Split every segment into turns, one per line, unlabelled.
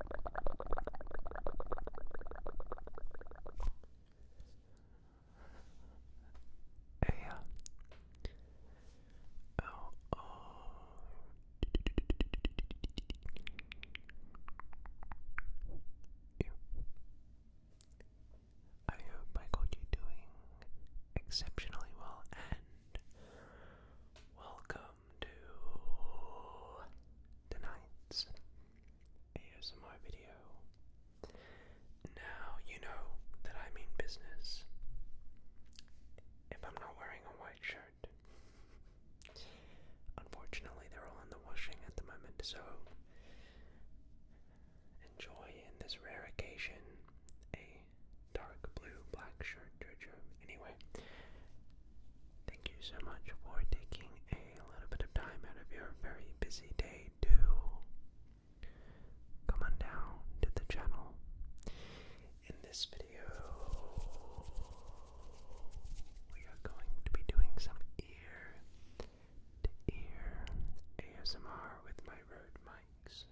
A L O you. I hope I got you doing exceptionally well and welcome welcome tonight's ASMR video. Now, you know that I mean business if I'm not wearing a white shirt. Unfortunately, they're all in the washing at the moment, so enjoy in this rare occasion a dark blue black shirt, Jojo. Anyway, Thank you so much for taking a little bit of time out of your very busy day to come on down to the channel. In this video, we are going to be doing some ear to ear ASMR with my Rode mics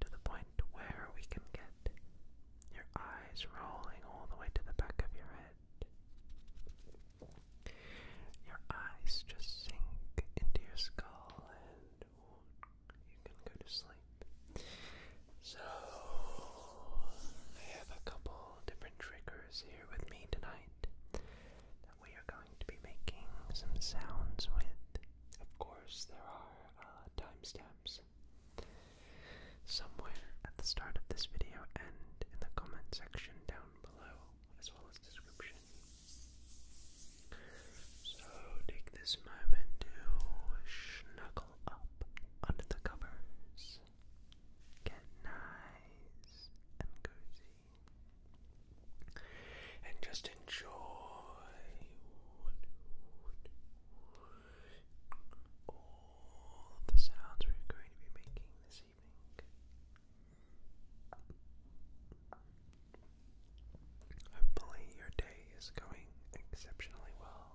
to the point where we can get your eyes rolling all the way to the back of your head. Your eyes just sink into your skull and you can go to sleep. So, I have a couple different triggers here with me tonight that we are going to be making some sounds with. Of course, there are uh, timestamps Somewhere at the start of this video and in the comment section down below, as well as description. So take this moment to snuggle up under the covers, get nice and cozy, and just enjoy all of the sounds we're going to be making this evening. Hopefully, your day is going exceptionally well.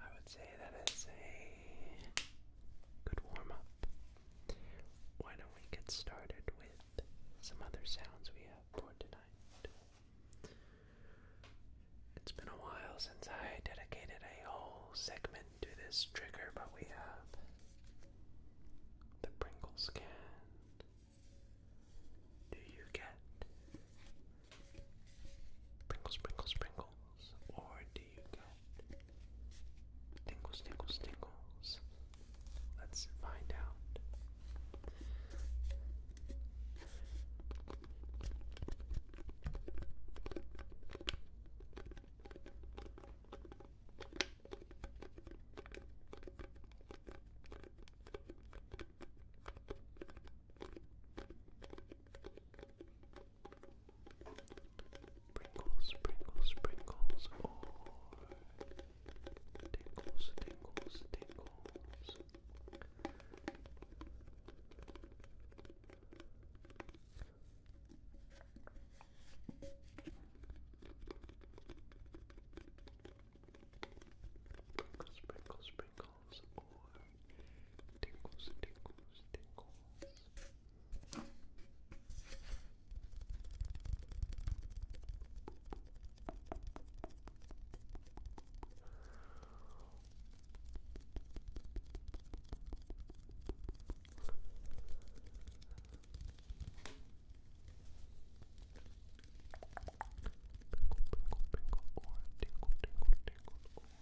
I would say that is a good warm up. Why don't we get started with some other sounds we have for tonight? It's been a while since I dedicated a whole segment to this trigger, but we have the Pringles can. Do you get Sprinkle, sprinkle, sprinkles. Or do you get tingles, tingles, tingles? Let's find out. Sprinkles, sprinkles, sprinkles, or oh. tinkles, tinkles, tinkles. Sprinkle, sprinkle, sprinkle, tickles or tinkles, tinkles, tinkles. Pinkle, pinkle,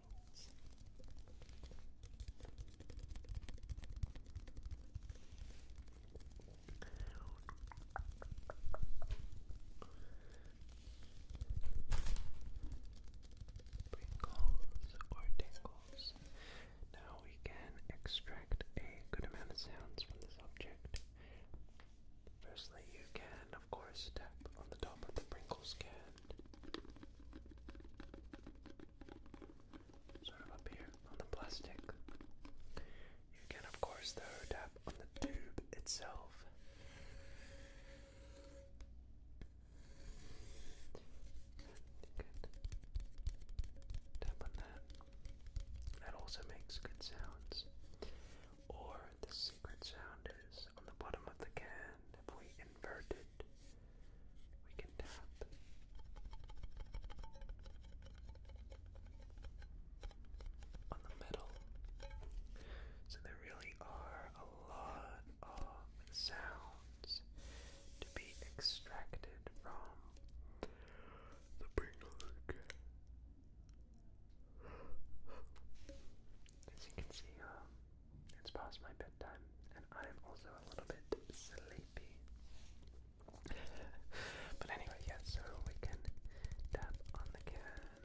rolls. or tingles. Now we can extract a good amount of sounds from this object. Firstly, you can, of course, tap on the top of the Pringles can sort of up here on the plastic. You can, of course, though, tap on the tube itself. You on that. That also makes good sounds. Or the secret sound is on the bottom of the can and if we invert it, we can tap. On the middle. So there really are a lot of sounds to be extracted from the ping as you can see, um, it's past my bedtime, and I am also a little bit sleepy. but anyway, yeah, so we can tap on the can.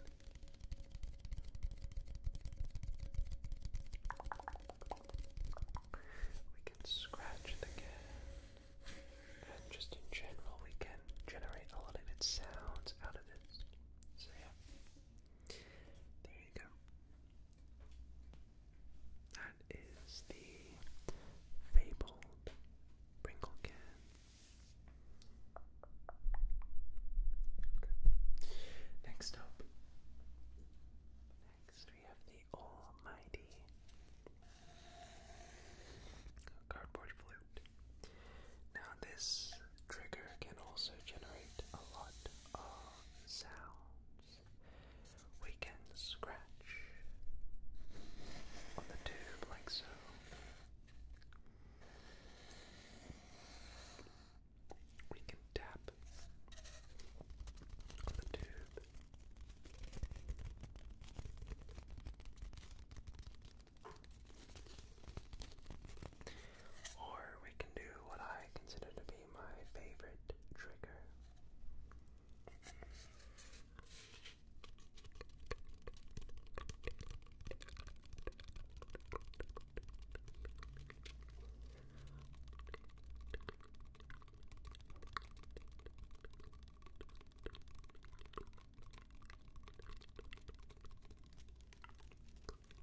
We can scratch the can. And just in general, we can generate a lot of good sounds out of this. So yeah. There you go. That is the fabled Pringle can. Okay. Next up, next we have the almighty cardboard flute. Now this trigger can also generate a lot of sounds. We can scratch on the tube like so. We can tap on the tube. Or we can do what I consider to be my favorite trigger.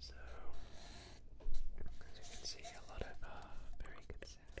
So, as you can see, a lot of uh, very good sound.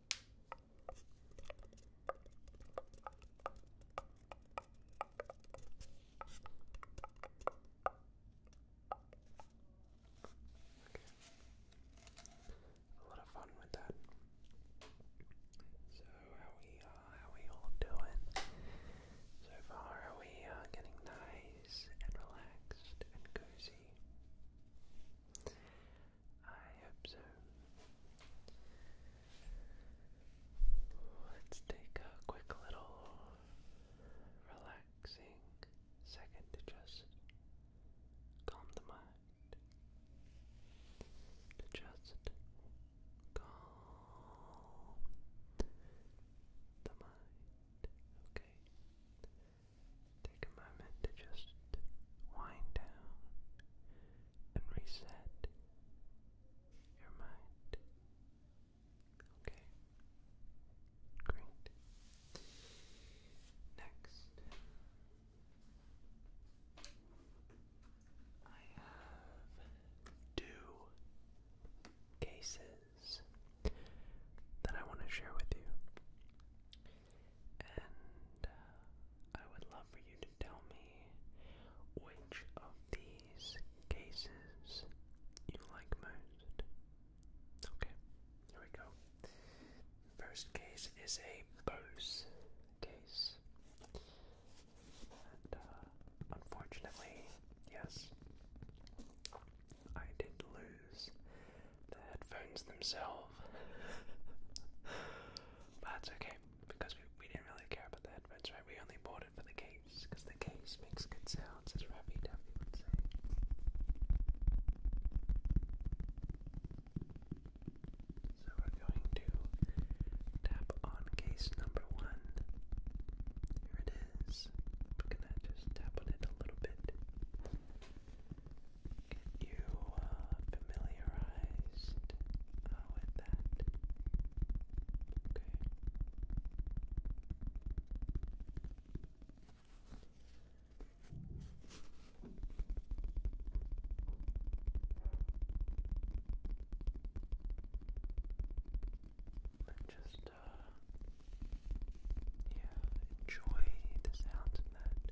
Okay. A lot of fun with that. So how we uh, how we all doing so far? Are we uh, getting nice and relaxed and cozy? I observe. Let's take a quick little relaxing second to just calm the mind. To just calm the mind. Okay. Take a moment to just wind down and reset your mind. Okay. Great. Next, I have two cases that I want to share with you. And uh, I would love for you to tell me which of these cases you like most. Okay, here we go. First case is a Bose case. And uh, unfortunately, yes, I did lose the headphones themselves. but that's okay, because we, we didn't really care about the headphones, right? We only bought it for the case, because the case makes good sounds, as Ravi Duffy would say. So we're going to tap on case number one. Here it is. We're gonna just tap on it a little bit. Get you familiarized with that. Okay. And just, uh, yeah, enjoy the sounds of that.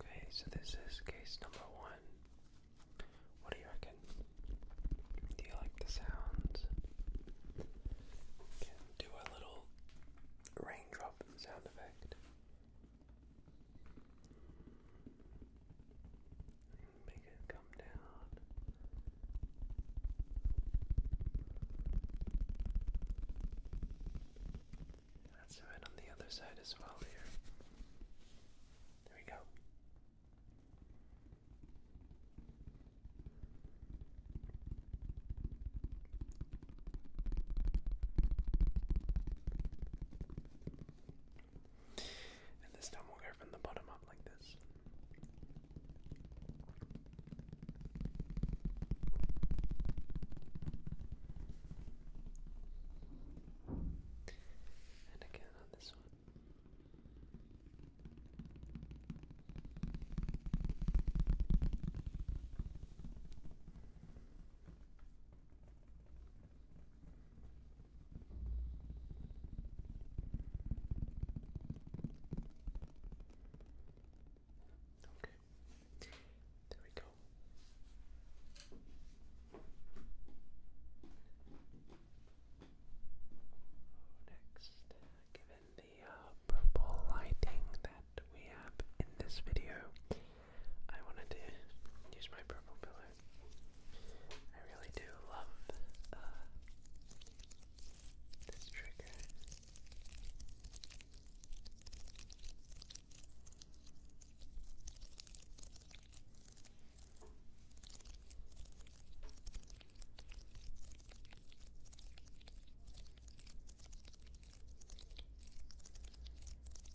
Okay, so this is case number one. What do you reckon? Do you like the sounds? do a little raindrop sound effect. Make it come down. Let's on the other side as well here. There we go. And this time we'll go from the bottom up like this. And again on this one. Okay, there we go. Next, given the uh, purple lighting that we have in this video. I wanted to use my purple pillow. I really do love uh, this trigger.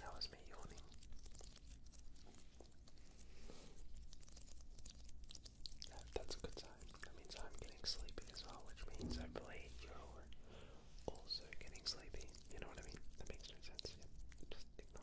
That was me yawning. that's a good sign. That means I'm getting sleepy as well, which means I hopefully you're also getting sleepy. You know what I mean? That makes no sense. Yeah. Just ignore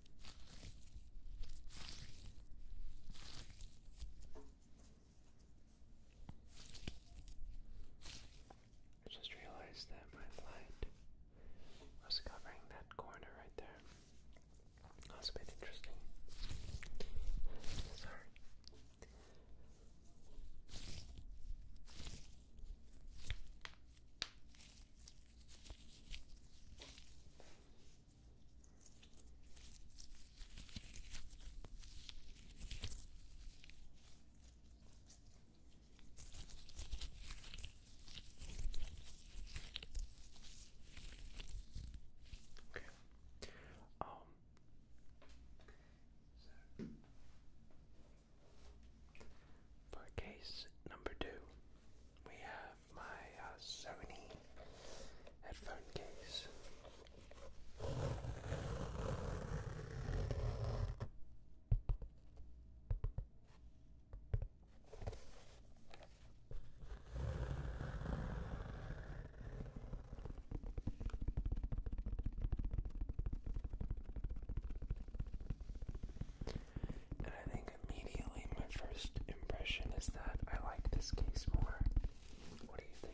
I just realized that my light was covering that corner right there. That's a bit interesting. Sorry. Okay. Um for case number two, we have my uh, Sony headphone case. And I think immediately my first impression is that I like this case more. What do you think?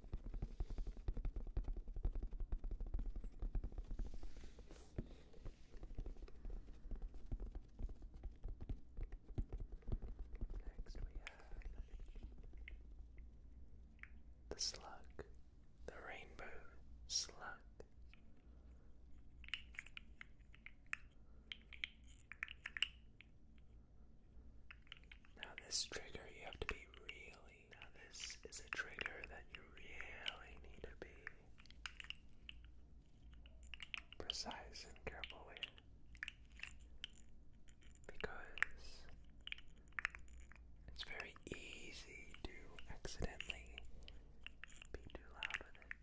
Next, we have the slug, the rainbow slug. Now this trigger you have to be really. Now this is a trigger that you really need to be precise and careful with. Because it's very easy to accidentally be too loud with it.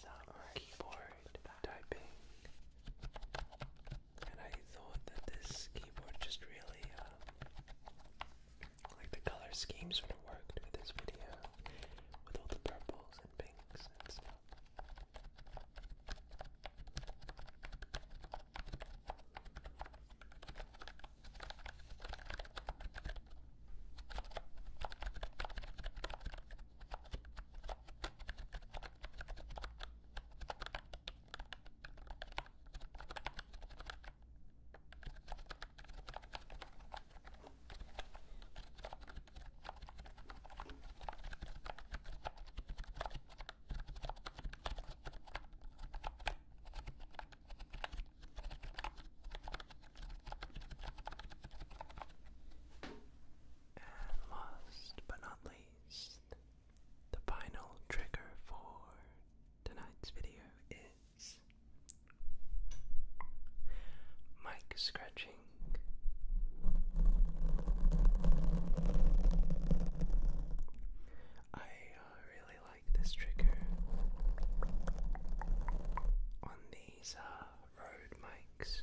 some keyboard typing. And I thought that this keyboard just really um, like the color schemes would have worked with this video with all the purples and pinks and stuff. And last but not least, the final trigger for Tonight's video is mic scratching. I uh, really like this trigger on these uh, mics.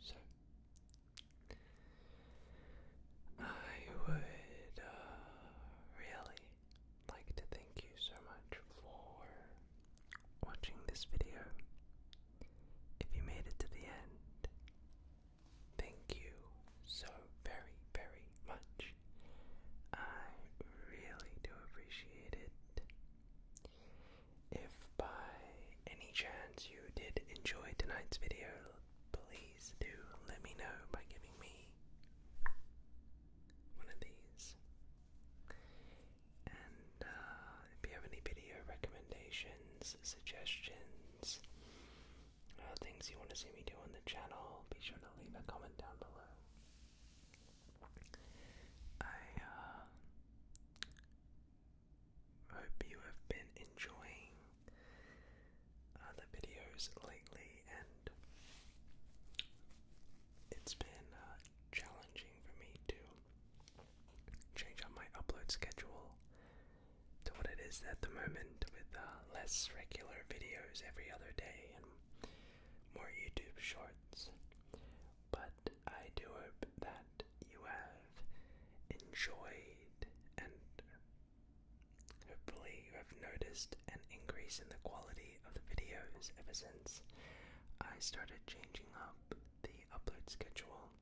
So I would really like to thank you so much for watching this video. If you made it to the end, thank you so very, very much. I really do appreciate it. If by any chance you did enjoy tonight's video, please do let me know by giving me one of these and uh, if you have any video recommendations, suggestions, uh, things you want to see me do on the channel, be sure to leave a comment down below. I uh, hope you have been enjoying uh, the videos lately, and it's been uh, challenging for me to change up my upload schedule to what it is at the moment with uh, less regular videos every other day and more YouTube shorts. But I do hope that you have enjoyed and hopefully you have noticed an increase in the quality of the videos ever since I started changing up the upload schedule.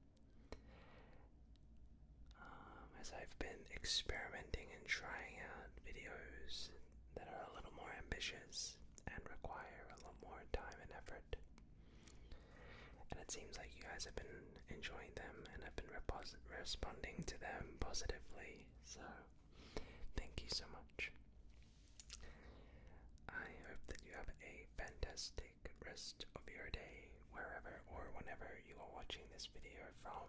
Um, as I've been experimenting and trying out videos that are a little more ambitious and require a lot more time and effort. And it seems like you guys have been enjoying them and have been responding to them positively. So, thank you so much. I hope that you have a fantastic rest of your day, wherever or whenever you are watching this video from.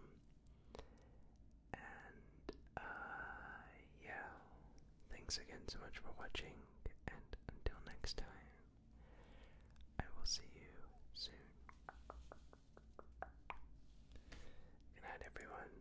And, uh, yeah. Thanks again so much for watching, and until next time, I will see you soon. Good everyone.